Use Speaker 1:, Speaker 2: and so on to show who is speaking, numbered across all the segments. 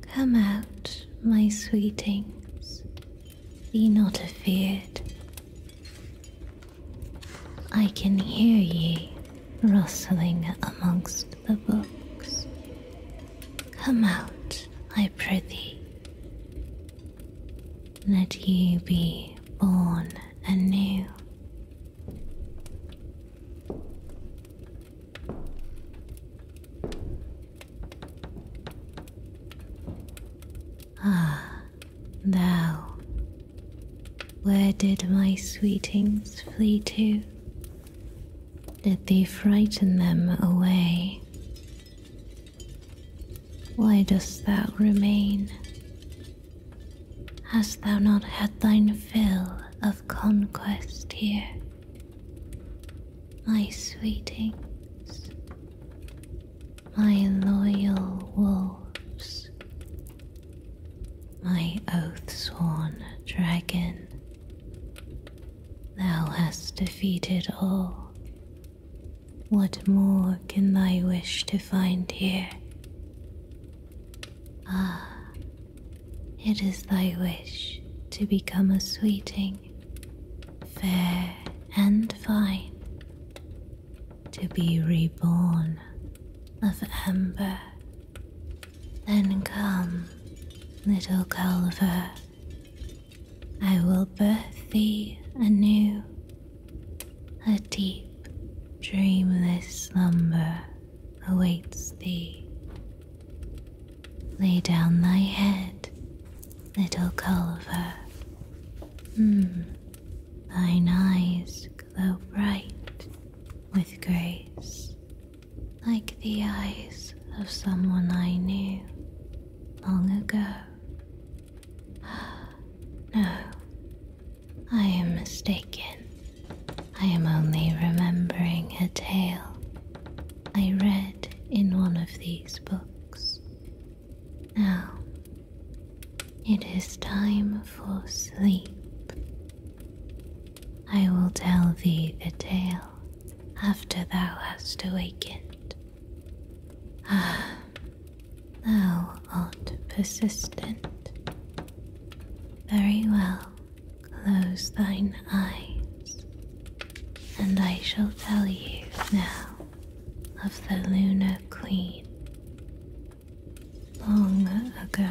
Speaker 1: Come out, my sweetings, be not afeard. I can hear ye rustling amongst the books. Come out, I prithee. Let ye be born anew Ah, thou, where did my sweetings flee to? Did thee frighten them away? Why dost thou remain? Hast thou not had thine fill of conquest here, my sweetings, my loyal wolves, my oath sworn dragon. Thou hast defeated all. What more can thy wish to find here? Ah, it is thy wish to become a sweeting, fair and fine, to be reborn of amber. Then come, little Culver, I will birth thee anew, a deep, dreamless slumber awaits thee. Lay down thy head, little Culver. Mm. Thine eyes glow bright with grace, like the eyes of someone I knew long ago. no, I am mistaken. I am only remembering a tale I read in one of these books. Now, it is time for sleep. I will tell thee the tale after thou hast awakened. Ah, thou art persistent, very well, close thine eyes, and I shall tell you now of the Lunar Queen. Long ago,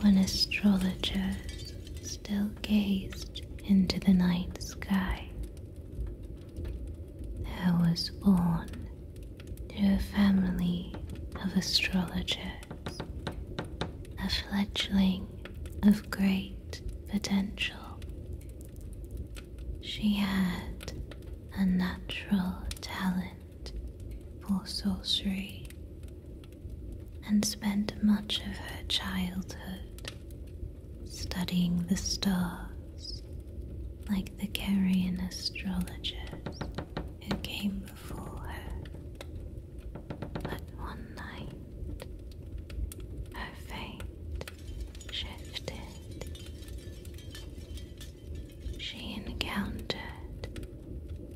Speaker 1: when astrologers still gazed into the night sky, there was born to a family of astrologers, a fledgling of great potential. She had a natural talent for sorcery and spent much of her childhood studying the stars like the Carian astrologers who came before her. But one night, her fate shifted. She encountered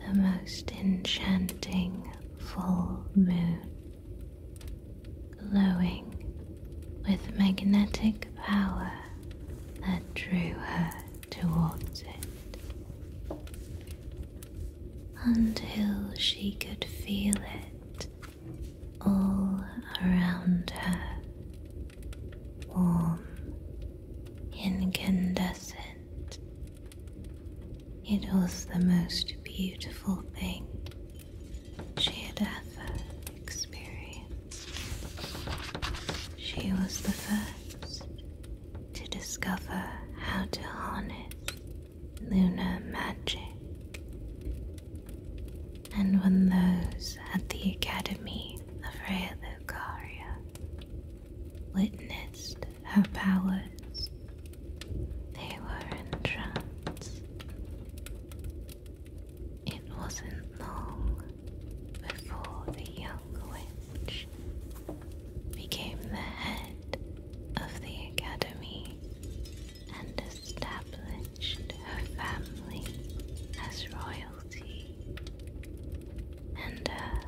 Speaker 1: the most enchanting full moon, glowing with magnetic power that drew her towards it until she could feel it all around her, warm, incandescent. It was the most beautiful thing she had ever experienced. She was the first to discover how to harness lunar magic. And when those at the Academy of Realocaria witnessed her powers, they were entranced. It wasn't long before the young witch became the head of the academy and established her family as royalty. And her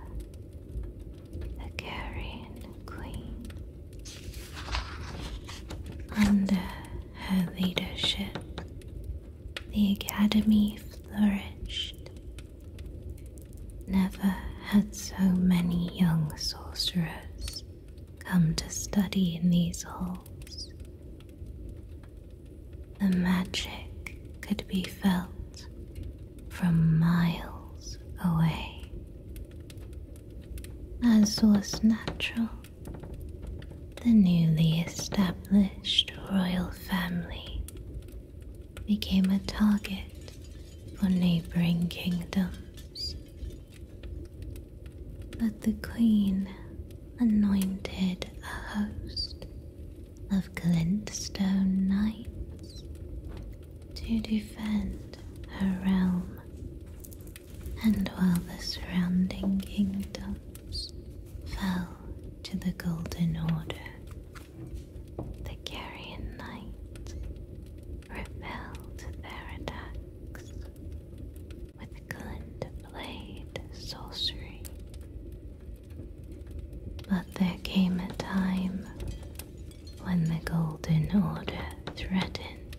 Speaker 1: Hungarian queen. Under her leadership, the academy flourished. Never had so many young sorcerers come to study in these halls. The magic could be felt from miles away. As was natural, the newly established royal family became a target for neighboring kingdoms. But the queen anointed a host of glintstone knights to defend her realm, and while the surrounding kingdoms fell to the Golden Order. The Carrion Knight repelled their attacks with glint blade sorcery. But there came a time when the Golden Order threatened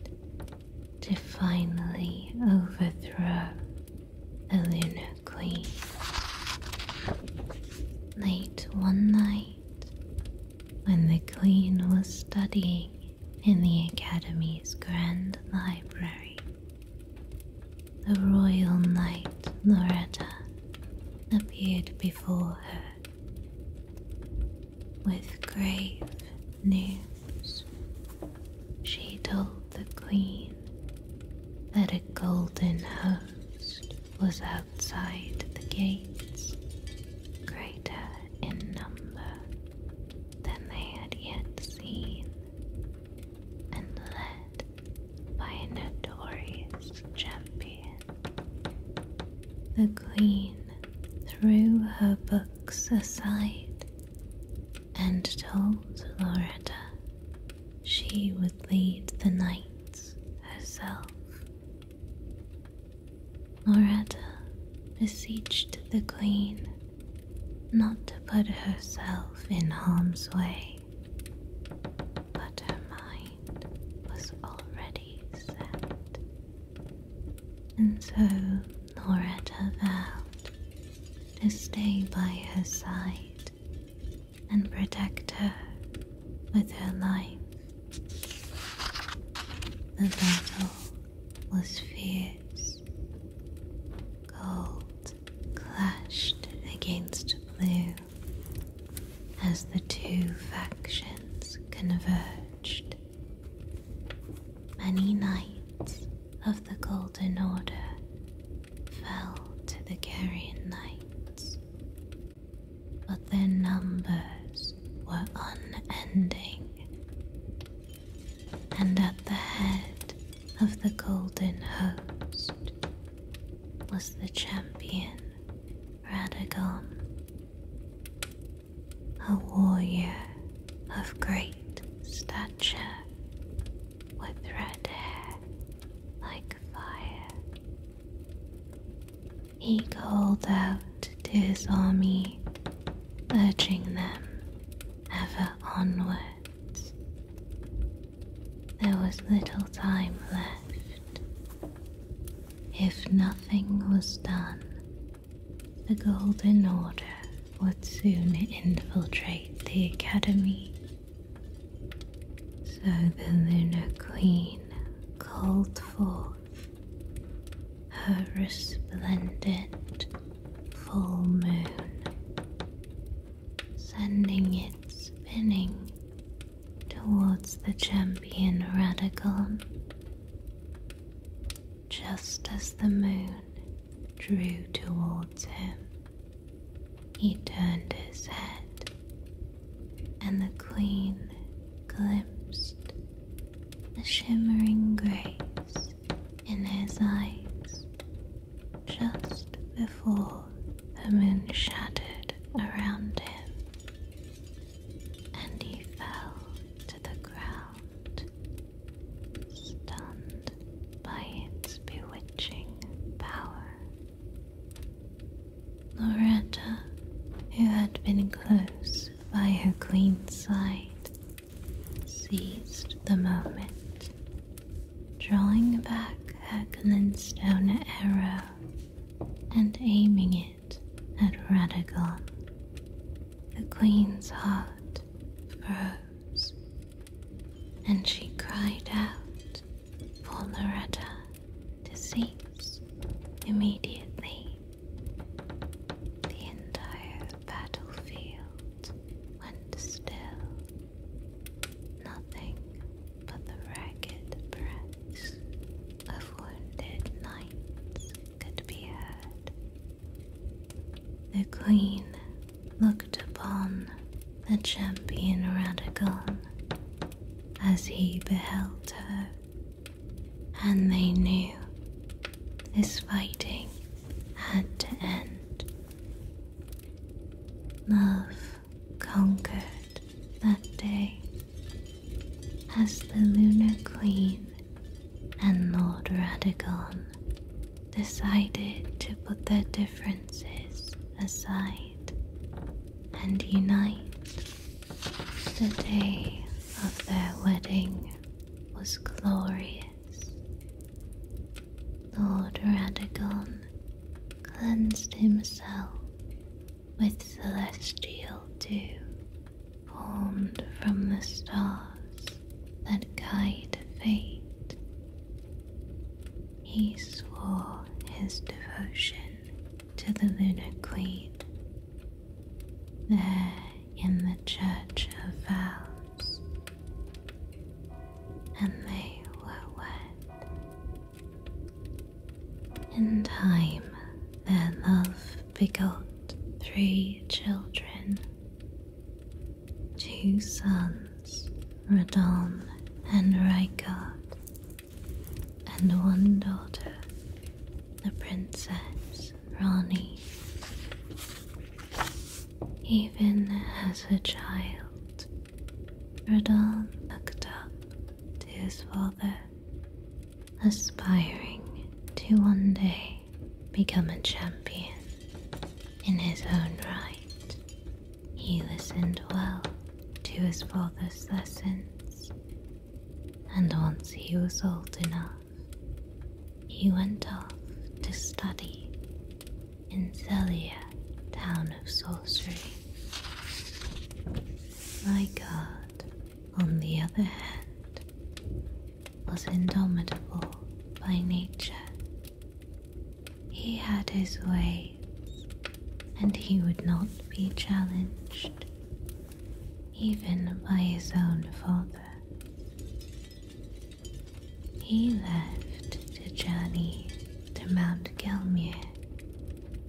Speaker 1: to finally overthrow the lunar queen. Late one night, when the queen was studying in the academy's grand library, the royal knight Loretta appeared before her with grave news she told the queen that a golden host was outside the gates, greater in number than they had yet seen, and led by a notorious champion. The queen threw her books aside and told Loretta she would lead the knights herself. Loretta beseeched the queen not to put herself in harm's way, but her mind was already set, and so Loretta vowed to stay by her side and protect her with her life. The battle was fierce. Gold clashed against blue as the two factions converged. Many nights of the Golden Order fell to the Carrion Knights, but their numbers were unending, and at the head of the Golden Host was the champion Radagon, a warrior of great stature, with red hair like fire. He called out to his army, urging them ever onwards. There was little time left. If nothing was done, the Golden Order would soon infiltrate the academy. So the Lunar Queen called forth her resplendent full moon, sending it spinning towards the champion Radical just as the moon drew towards him. He turned his head, and the queen glimpsed the shimmering grace in his eyes just before the moon shattered around him, and he fell to the ground stunned by its bewitching power. Loreta, who had been close by her queen's side, seized the moment, drawing back her glinstone arrow and aiming it at Radagon. The queen's heart froze, and she cried out for Loretta to cease immediately. The entire battlefield went still, nothing but the ragged breaths of wounded knights could be heard. The queen looked upon the champion Radagon as he beheld her, and they knew this fighting had to end. Love conquered that day as the Lunar Queen and Lord Radagon decided to put their differences aside and unite. The day of their wedding was glorious. Lord Radagon cleansed himself with celestial dew formed from the stars that guide fate. He swore his devotion to the Lunar Queen. There in the Church of Vows, and they were wed. In time, their love begot three children Two sons, Radon and Rykard, and one daughter, the Princess Rani. Even as a child, Radon looked up to his father aspiring to one day become a champion in his own right. He listened well to his father's lessons, and once he was old enough, he went off to study in Zelia, town of sorcery. My god, on the other hand, was indomitable by nature. He had his ways, and he would not be challenged, even by his own father. He left to journey to Mount Gelmir,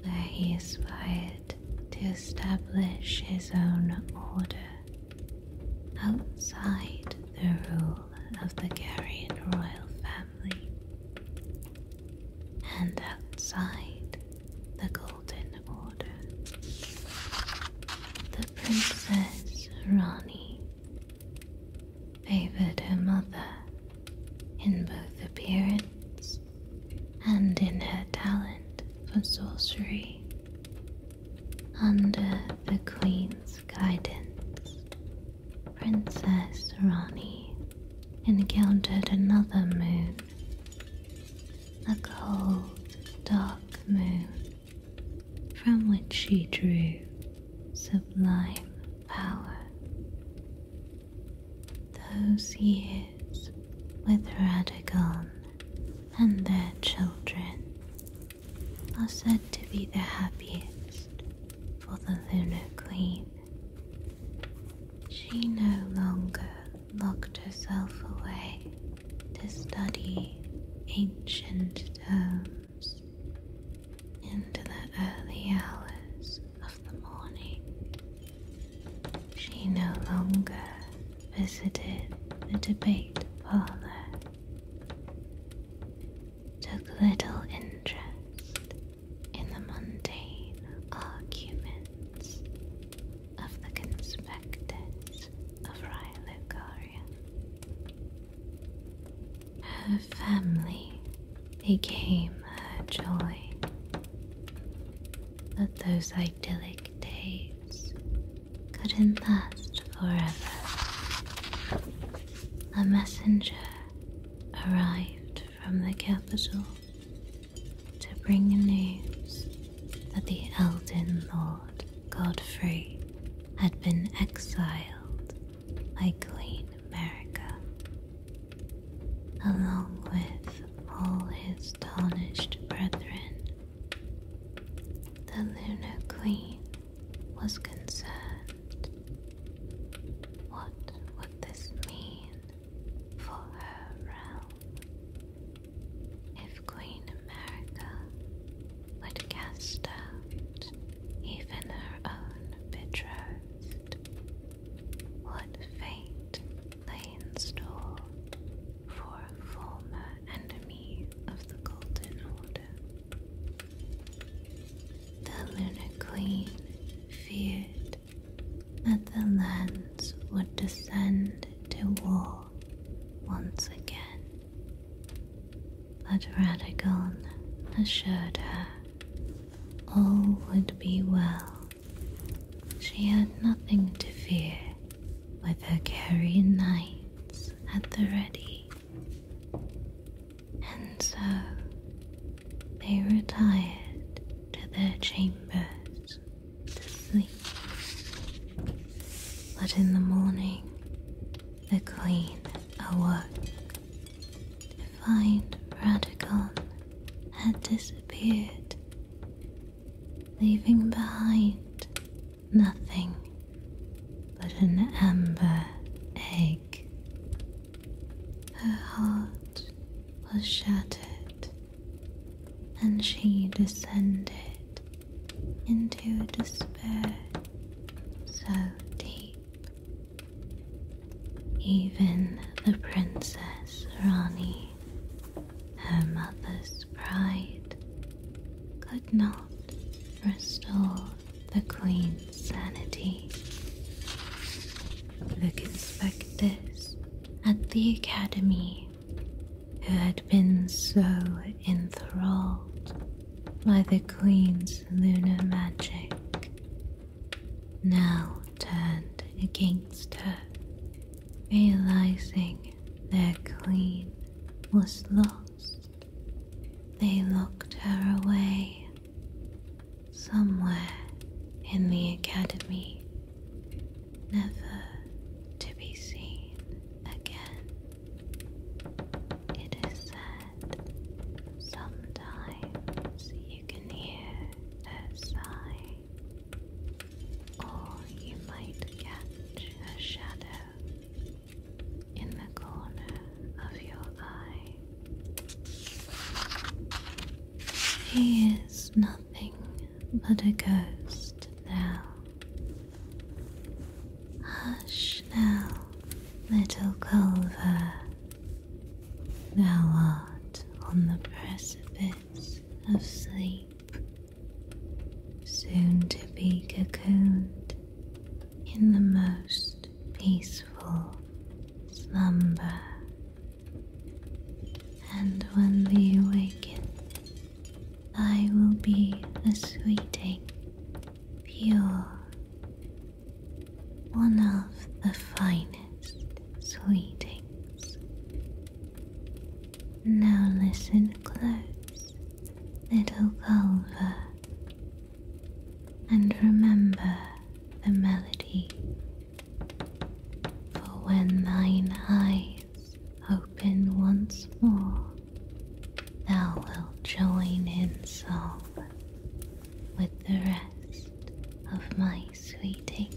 Speaker 1: where he aspired to establish his own order outside the rule of the Garian royal family and outside the Golden Order. The Princess Rani favored her mother in both appearance and in her talent for sorcery. Under the Queen's guidance, Princess Rani encountered another moon, a cold, dark moon from which she drew sublime power. Those years with gone and their children are said to be the happiest for the Lunar Queen. She no longer locked herself away to study ancient tomes into the early hours of the morning. She no longer visited the debate parlor, took little interest in the mundane arguments of the conspectors of Rhylocaria. Her family became her joy. Let those idyllic days couldn't last forever. A messenger arrived from the capital to bring news that the Elden Lord Godfrey had been exiled by Queen America, along with all his tarnished brethren. The Lunar Queen was concerned. What would this mean for her realm? If Queen America would cast out even her own betrothed, what fate Lainstall for a former enemy of the Golden Order. The Lunar Queen feared that the lands would descend to war once again, but Radagon assured her all would be well she had nothing to fear with her carrion knights at the ready. And so they retired to their chambers to sleep. But in the morning, the queen awoke to find Radicon had disappeared leaving behind nothing but an amber egg. Her heart was shattered, and she descended into despair so deep. Even the Princess Rani her mother's pride could not restore the queen's sanity. The conspectors at the academy, who had been so enthralled by the queen's lunar magic, now turned against her Realizing their queen was lost, they locked her away somewhere in the academy, never to be seen again. It is said sometimes you can hear her sigh or you might catch a shadow in the corner of your eye. He is nothing but a ghost now. Hush now, little Culver. Now art on the precipice of sleep, soon to be cocooned in the most peaceful slumber. And when we awaken, I will be a sweeting, pure, one of the finest sweetest sweetings. Now listen close, little Culver, and remember the melody. For when thine eyes open once more, thou wilt join in song with the rest of my sweetings.